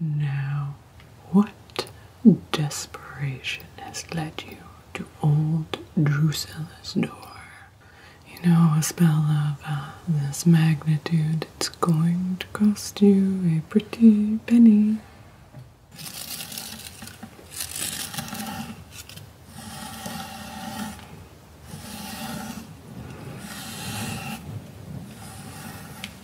Now, what desperation has led you to old Drusilla's door? You know, a spell of uh, this magnitude, it's going to cost you a pretty penny.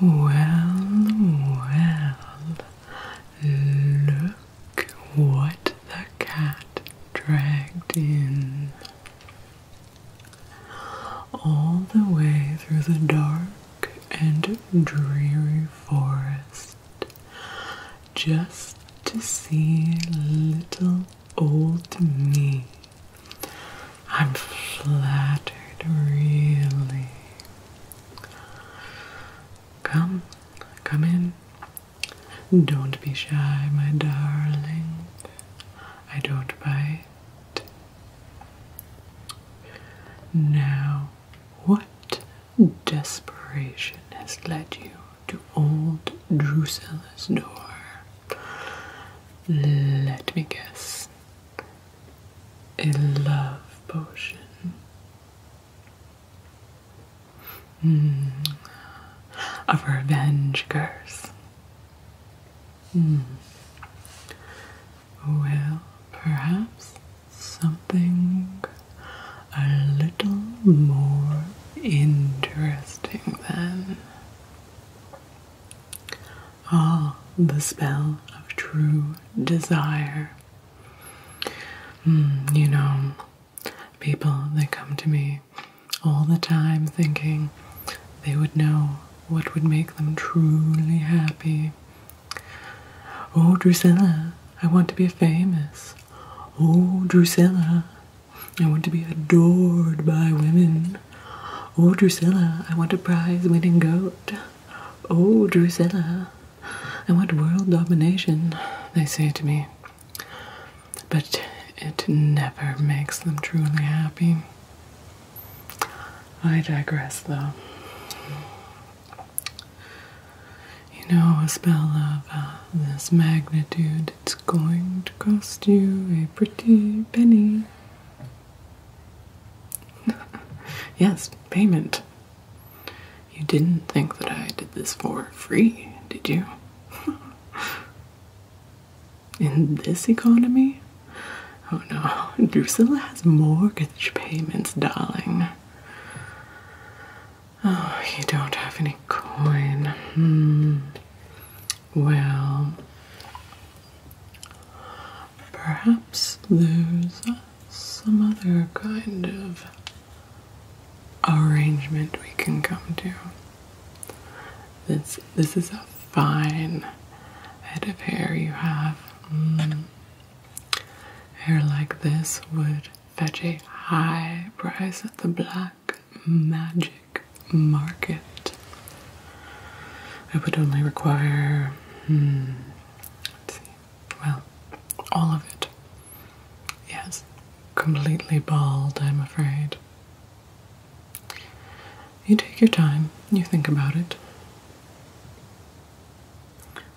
Well, well, look what the cat dragged in. All the way through the dark and dreary forest, just to see little old me. I'm flattered, really. Come, come in. Don't be shy, my darling. I don't bite. Now, what desperation has led you to old Drusilla's door? Let me guess a love potion. Mm. A revenge curse mm. well perhaps something a little more interesting than. Ah, the spell of true desire. Hmm, you know, people they come to me all the time thinking they would know what would make them truly happy. Oh, Drusilla, I want to be famous. Oh, Drusilla, I want to be adored by women. Oh, Drusilla, I want a prize winning goat. Oh, Drusilla, I want world domination, they say to me. But it never makes them truly happy. I digress, though. You know, a spell of uh, this magnitude, it's going to cost you a pretty penny. yes, payment. You didn't think that I did this for free, did you? In this economy? Oh no, Drusilla has mortgage payments, darling. Oh, you don't have any coin. Hmm. Well, Perhaps there's some other kind of arrangement we can come to. This this is a fine head of hair you have. Mm. Hair like this would fetch a high price at the black magic market. I would only require, hmm, let's see, well, all of it. Yes, completely bald, I'm afraid. You take your time, you think about it.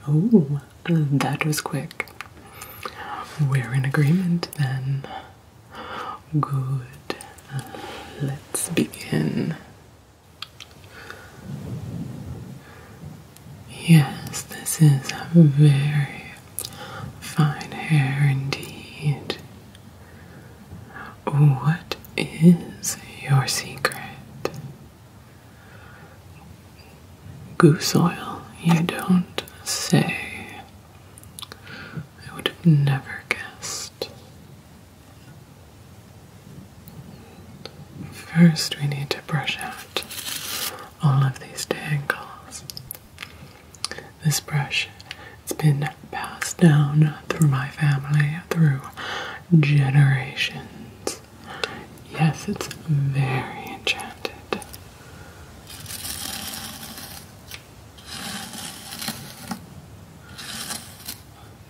Oh, that was quick. We're in agreement then. Good. let's begin. Yes, this is a very fine hair indeed. What is your secret? Goose oil, you don't say. I would have never guessed. First, we need to brush out all of these tangles. This brush has been passed down through my family through generations. Yes, it's very enchanted.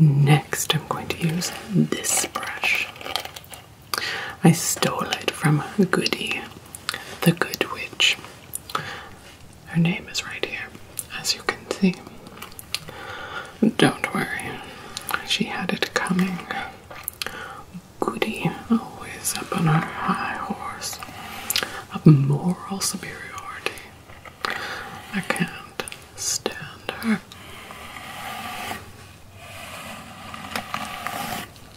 Next, I'm going to use this brush. I stole it from Goody, the Good Witch. Her name is right here, as you can see. Don't worry, she had it coming. Goody, always up on her high horse of moral superiority. I can't stand her.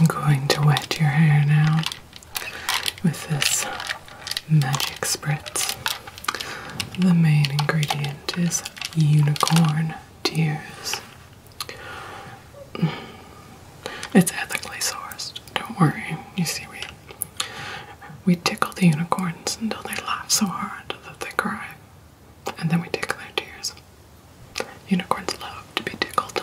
I'm going to wet your hair now with this magic spritz. The main ingredient is unicorn tears. It's ethically sourced. Don't worry. You see, we we tickle the unicorns until they laugh so hard that they cry, and then we tickle their tears. Unicorns love to be tickled.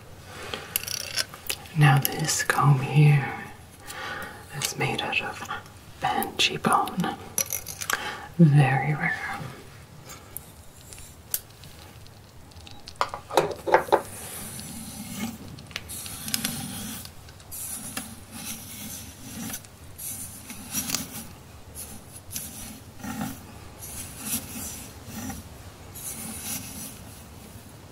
Now, this comb here is made out of banshee bone, very rare.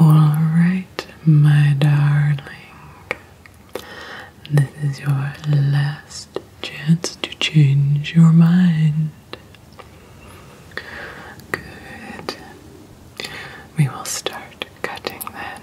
All right, my darling. This is your last chance to change your mind. Good. We will start cutting then.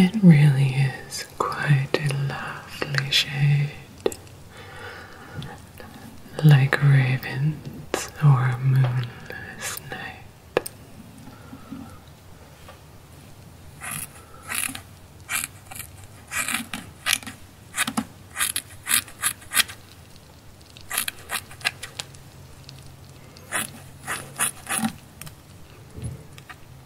It really is quite a lovely shade like ravens or a moonless night.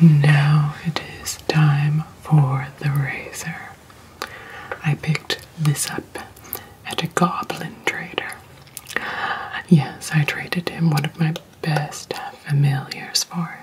now it is time for the razor. I picked this up at a goblin trader. Yes, I traded him one of my best familiars for it.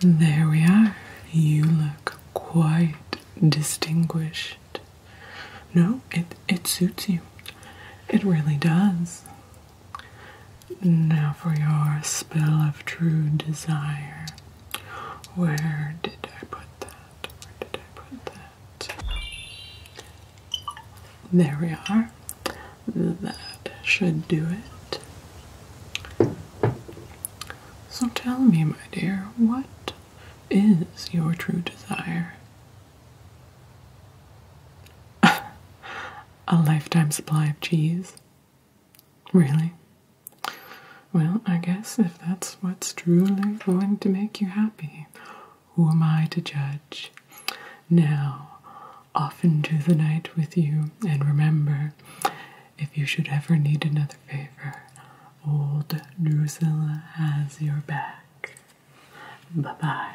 There we are. You look quite distinguished. No, it, it suits you. It really does. Now for your spell of true desire. Where did I put that? Where did I put that? There we are. That should do it. So tell me, my dear, what is your true desire? A lifetime supply of cheese. Really? Well, I guess if that's what's truly going to make you happy, who am I to judge? Now, off into the night with you, and remember, if you should ever need another favor, old Drusilla has your back. Bye bye.